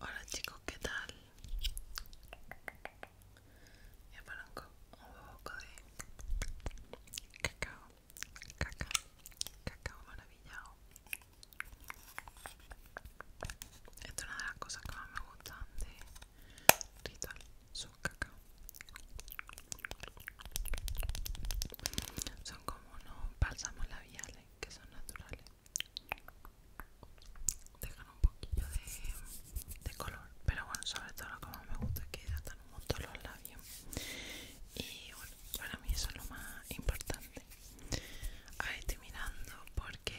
Hola chicos, ¿qué tal? Me aparanco un poco de cacao, cacao, cacao maravillado. Esta es una de las cosas que más me gustan de Ritual, son cacao. Son como unos bálsamos labiales que son naturales. Dejan un poquillo de, color, pero bueno, sobre todo lo que más me gusta es que hidratan un montón los labios. Y bueno, para mí eso es lo más importante. A estoy mirando porque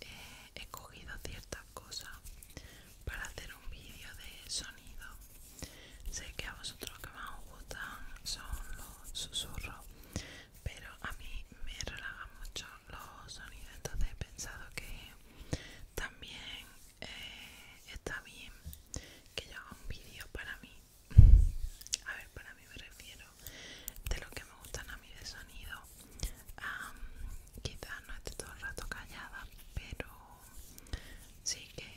eh, he cogido ciertas cosas para hacer un vídeo de sonido. Sé que a vosotros que más os gustan son los susurros, pero a mí me relajan mucho los sonidos, entonces he pensado que también eh, está bien que yo haga un vídeo para mí. A ver, para mí me refiero de lo que me gustan a mí de sonido. quizás no esté todo el rato callada, pero sí que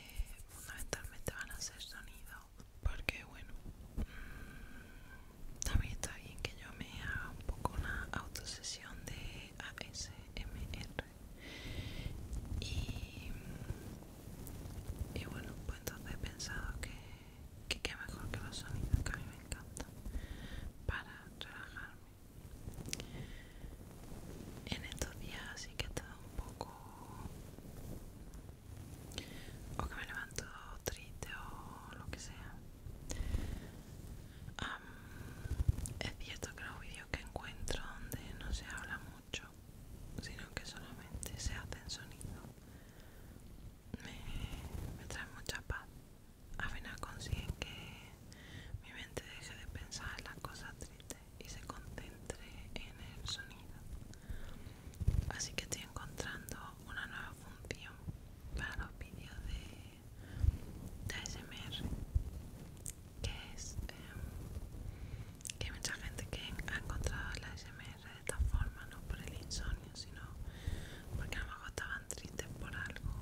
fundamentalmente van a ser sonido, Porque bueno, mm, también está bien que yo me haga un poco una autosesión de ASMR. Y, y bueno, pues entonces he pensado que que qué mejor que los sonidos que a mí me encantan para relajarme en estos días sí que he estado un poco o que me levanto triste o lo que sea es cierto que los vídeos que encuentro donde no se habla mucho sino que solamente se hacen sonidos me, trae mucha paz. Al final consigue que mi mente deje de pensar en las cosas tristes y se concentre en el sonido. Así que estoy encontrando una nueva función para los vídeos de, ASMR, que es em, que hay mucha gente que ha encontrado la ASMR de esta forma, no por el insomnio, sino porque a lo mejor estaban tristes por algo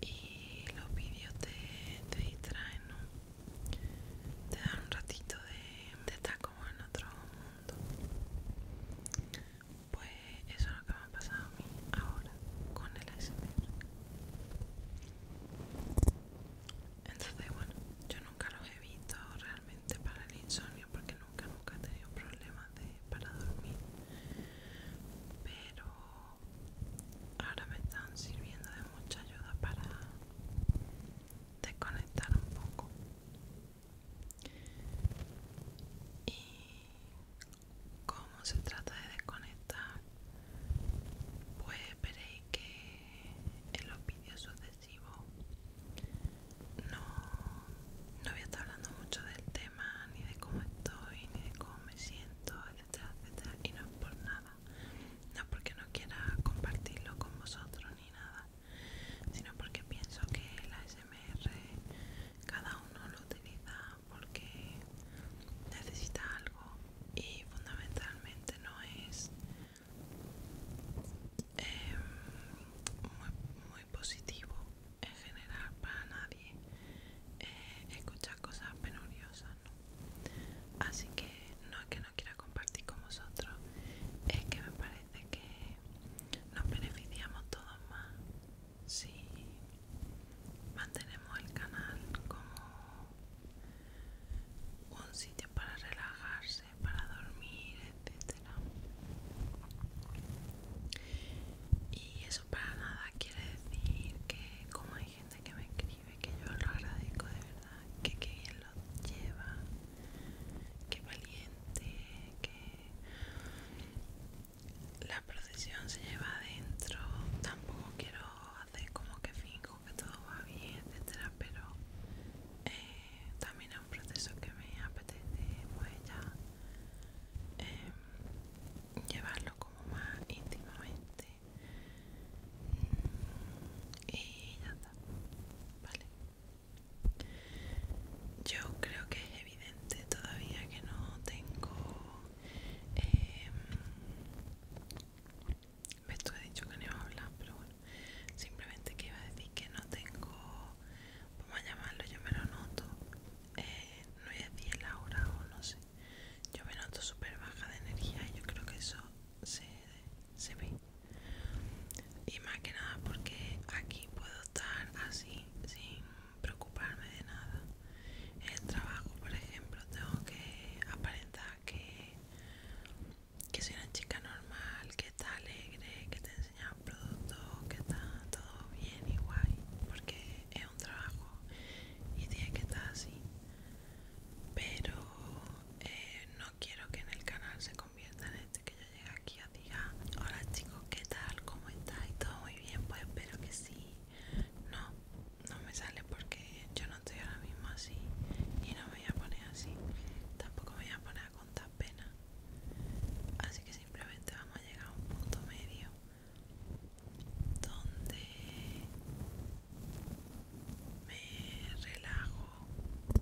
y los vídeos te, distraen, Te dan un ratito de, de estar como en otro mundo. Pues eso es lo que me ha pasado a mí ahora con el ASMR. Entonces, bueno, yo nunca los he visto realmente para el insomnio porque nunca, nunca he tenido problemas para dormir. Pero ahora me están sirviendo de mucha ayuda para desconectar un poco. Y como se trata de desconectar, pues veréis que en los vídeos no, no voy a estar hablando mucho del tema, ni de cómo estoy, ni de cómo me siento, etcétera, etcétera. Y no es por nada, no porque no quiera compartirlo con vosotros ni nada, sino porque pienso que la SMR cada uno lo utiliza porque necesita algo y fundamentalmente no es em, muy, positivo en general para nadie eh, escuchar cosas penuriosas, Así que no es que no quiera compartir con vosotros, es que me parece que nos beneficiamos todos más si mantenemos el canal como un sitio para relajarse para dormir, etcétera. Y eso para nada quiere decir que, como hay gente que me escribe, que yo lo agradezco de verdad, que bien lo lleva, que valiente, que la procesión se lleva adentro. Tampoco quiero hacer como que finjo que todo va bien, etcétera, pero eh, también es un proceso que me apetece pues ya em, llevarlo como más íntimamente y ya está vale yo creo que es evidente todavía que no tengo em, esto he dicho que no iba a hablar pero bueno simplemente que iba a decir que no tengo vamos a llamarlo yo me lo noto eh, no voy a decir la o no sé yo me noto súper baja de energía y yo creo que eso se, ve y más que nada porque aquí puedo estar así sin preocuparme de nada en el trabajo por ejemplo tengo que aparentar que que soy una chica normal, que está alegre, que te enseñar productos producto que está todo bien y guay porque es un trabajo y tiene que estar así pero eh, no quiero que en el canal se convierta en este que yo llegue aquí a diga hola chicos qué tal cómo y todo muy bien pues espero que sí no no me sale porque yo no estoy ahora mismo así y no me voy a poner así tampoco me voy a poner con tanta pena. Así que simplemente vamos a llegar a un punto medio donde me relajo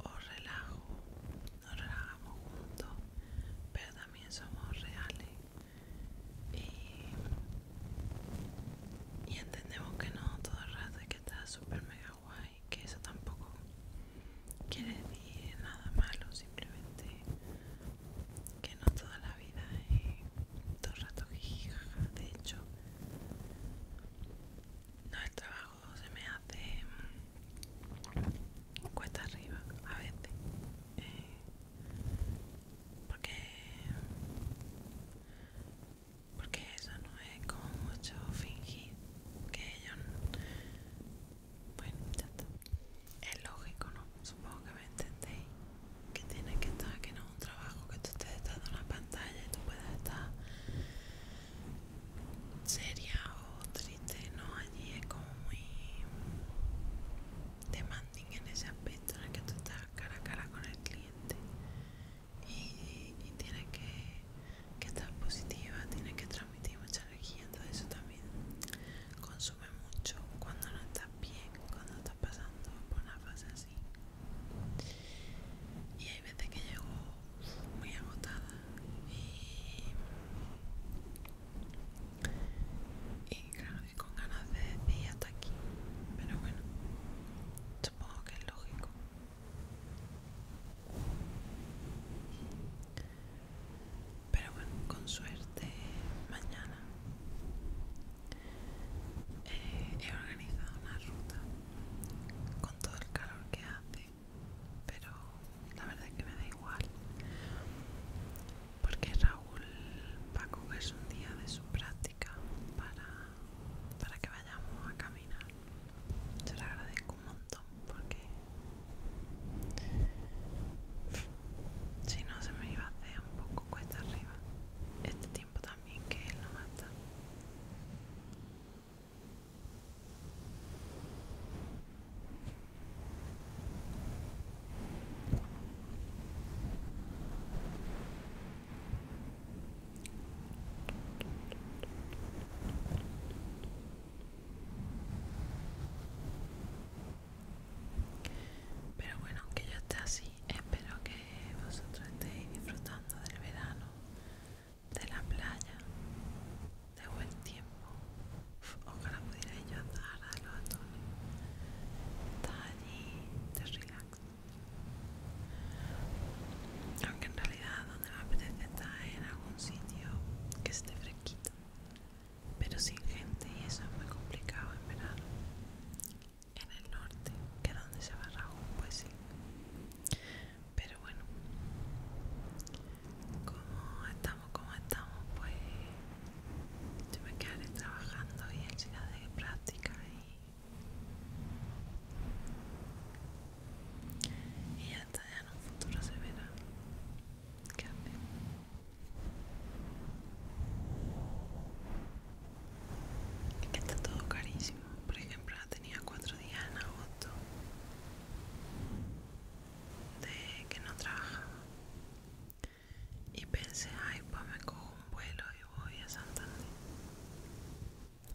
o relajo, nos relajamos juntos, pero también somos reales y, entendemos que no todo el rato y que está súper mega guay que eso tampoco quiere decir nada malo simplemente que no toda la vida eh, todo el rato de hecho no el trabajo se me hace mm, cuesta arriba a veces eh, porque porque eso no es como mucho fingir que yo bueno, ya está. Es lógico, ¿no? Supongo que me entendéis. Que tiene que estar, que no es un trabajo que tú estés estado en la pantalla y tú puedas estar seria o triste, ¿no? Allí es como muy demanding en ese aspecto en el que tú estás cara a cara con el cliente y, y tienes que que estás positiva, tiene que transmitir mucha energía, entonces eso también consume mucho cuando no estás bien, cuando estás pasando por una fase así. Y hay veces que llego muy agotada y, con ganas de ir hasta aquí, pero bueno, supongo que es lógico. Pero bueno, con suerte mañana eh, he organizado una ruta con todo el calor que hace, pero la verdad es que me da igual porque Raúl va a cogerse un día de su práctica para, para que vayamos a caminar se lo agradezco un montón porque si no se me iba a hacer un poco cuesta arriba este tiempo también que él no mata pero bueno, aunque yo esté así, espero que vosotros estéis disfrutando del verano, de la playa, de buen tiempo. ojalá pudierais yo andar a los atones. Estás allí, te relax. Aunque en realidad la me estar en algún sitio que esté fresquito, pero sin gente y eso es muy complicado en verano. En el norte, que es donde se va Rahu, pues sí. Pero bueno, como estamos, como estamos, pues yo me quedaré trabajando y en ciudad de práctica y y ya está, ya en un futuro se verá qué hace que está todo carísimo por ejemplo tenía cuatro días en agosto de que no trabajaba y pensé ay pues me cojo un vuelo y voy a Santander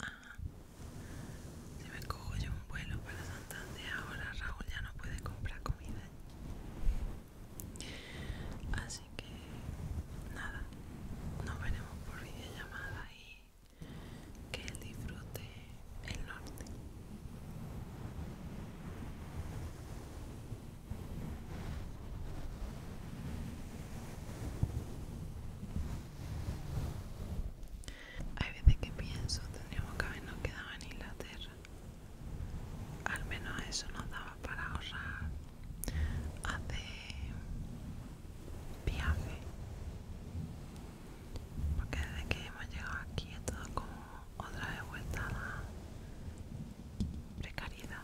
Ajá. Si me cojo yo un vuelo para Santander, ahora Raúl ya no puede comprar comida. Así que nada, nos veremos por videollamada y que él disfrute el norte. Hay veces que pienso, tendríamos que habernos quedado en Inglaterra. Al menos eso nos daba para ahorrar. Hace viaje. Porque desde que hemos llegado aquí es todo como otra vez vuelta a la precariedad.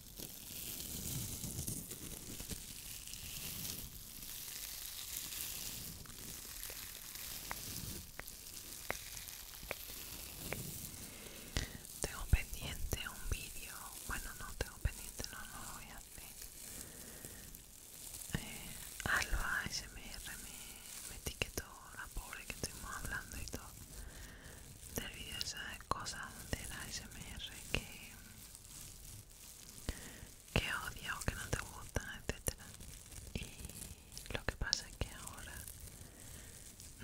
Tengo pendiente un vídeo, bueno no tengo pendiente, no, lo voy a hacer. Eh, Alba SMR me, etiquetó, la pobre que estuvimos hablando y todo, del vídeo cosas de la que, que odia o que no te gustan, etc. Y lo que pasa es que ahora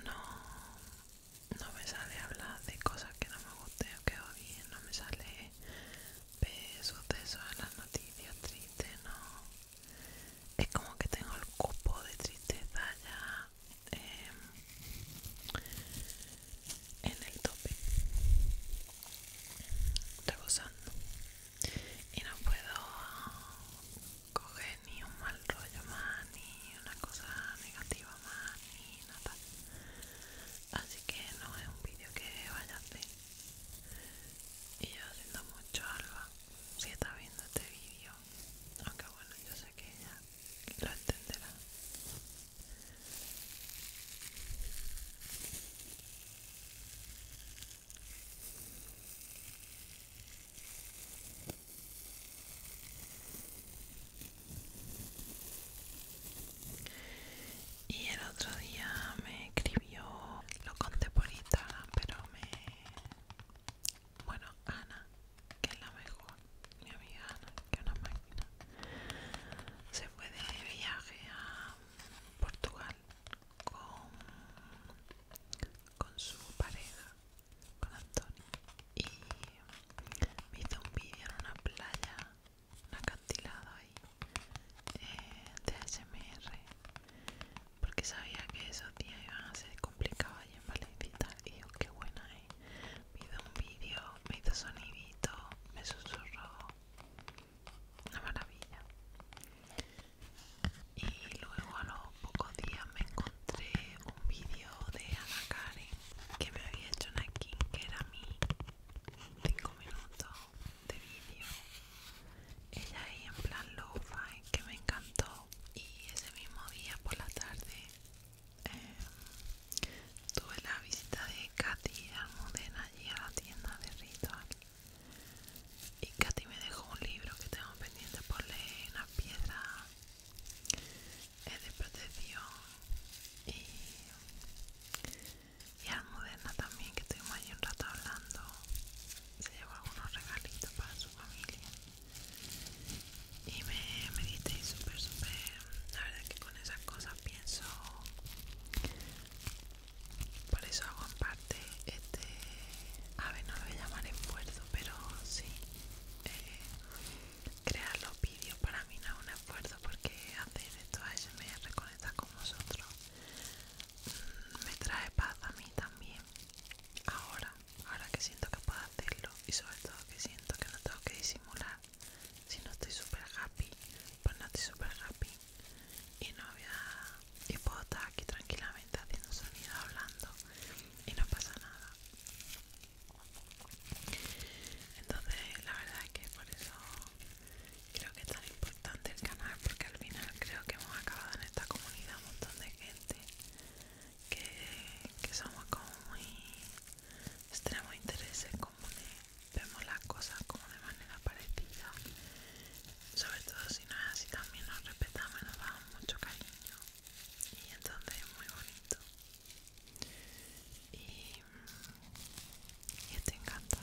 no, me sale hablar de cosas que no me gusten o que odien, no me sale ver sucesos en las noticias tristes, no. Es como que tengo el cupo de tristeza ya Em, en el tope rebosando y no puedo coger ni un mal rollo más ni una cosa negativa más ni nada así que no es un vídeo que vayas a hacer y yo siento mucho alba si está viendo este vídeo aunque bueno yo sé que ella lo entenderá. Y el otro día me escribió, lo conté por pero me... Bueno, Ana que es la mejor, mi amiga Ana, que una máquina. Se fue de viaje a Portugal con, su pareja, con Antonio, y me hizo un vídeo en una playa, un acantilado ahí, eh, de ASMR, porque sabía que esos días iban a ser complicados allí en Valencita y digo, qué buena, ¿eh? me un vídeo, me hizo sonidito, me susurró. Una maravilla. Y luego a los pocos días me encontré un vídeo de Ana Karen que me había hecho una que era mí. 5 minutos de vídeo. Ella ahí en plan lo-fi que me encantó. Y ese mismo día por la tarde eh, tuve la visita de Katy Almudena allí a la tienda de Ritual y Katy me dejó un libro que tengo pendiente por leer, una piedra eh, de protección y, y Almudena también que estuvimos allí un rato hablando se llevó algunos regalitos para su familia y me diste súper súper la verdad que con esas cosas pienso por eso hago en parte este a ver no lo voy a llamar esfuerzo pero sí eh, crear los vídeos para mí no es un esfuerzo porque hacer esto ASMR me reconecta con vosotros mm, me trae paz a mí también ahora ahora que siento que puedo hacerlo y sobre todo que siento que no tengo que disimular si no estoy super happy pues no estoy super happy y no voy a y puedo estar aquí tranquilamente haciendo sonido hablando y no pasa nada entonces la verdad es que por eso creo que es tan importante el canal porque al final creo que hemos acabado en esta comunidad un montón de gente que, que somos como muy interés en comune vemos las cosas como de manera parecida sobre todo si no es así también nos respetamos y nos damos mucho cariño y entonces es muy bonito y, mm, y estoy encantada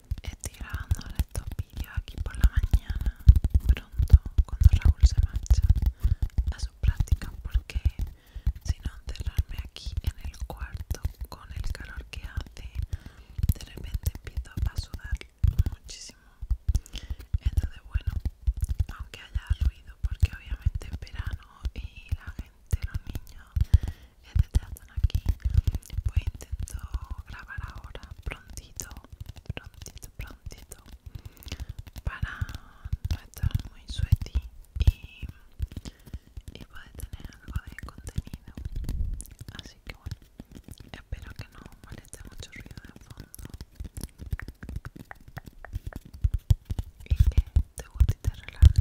Estoy grabando estos vídeos aquí por la mañana, pronto, cuando Raúl se marcha a su práctica porque si no encerrarme aquí en el cuarto con el calor que hace, de repente empiezo a sudar muchísimo. Entonces, bueno, aunque haya ruido, porque obviamente es verano y la gente, los niños, etc. están aquí, pues intento grabar ahora prontito prontito, prontito para no estar muy sweaty y, y poder tener algo de contenido. Así que bueno, espero que no moleste mucho ruido de fondo y que te guste y te relaje.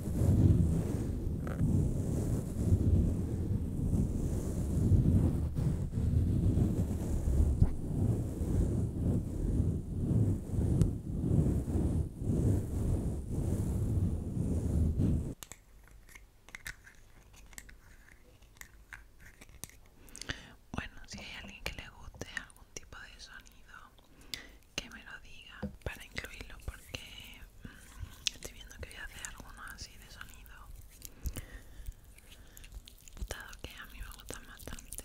Bueno, si hay alguien que le guste algún tipo de sonido que me lo diga para incluirlo porque mm, estoy viendo que voy a hacer alguno así de sonido dado que a mí me más bastante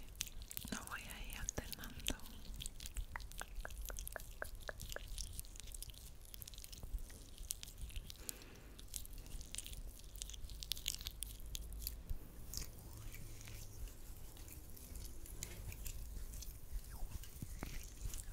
lo voy a ir alternando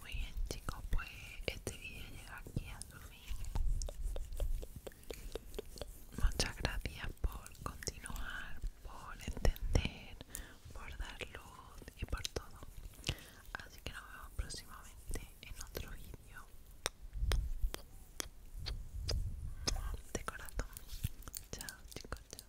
Muy bien chicos, pues este video llega aquí a su fin. Muchas gracias por continuar, por entender, por dar luz y por todo. Así que nos vemos próximamente en otro vídeo. De corazón. Chao chicos, chao.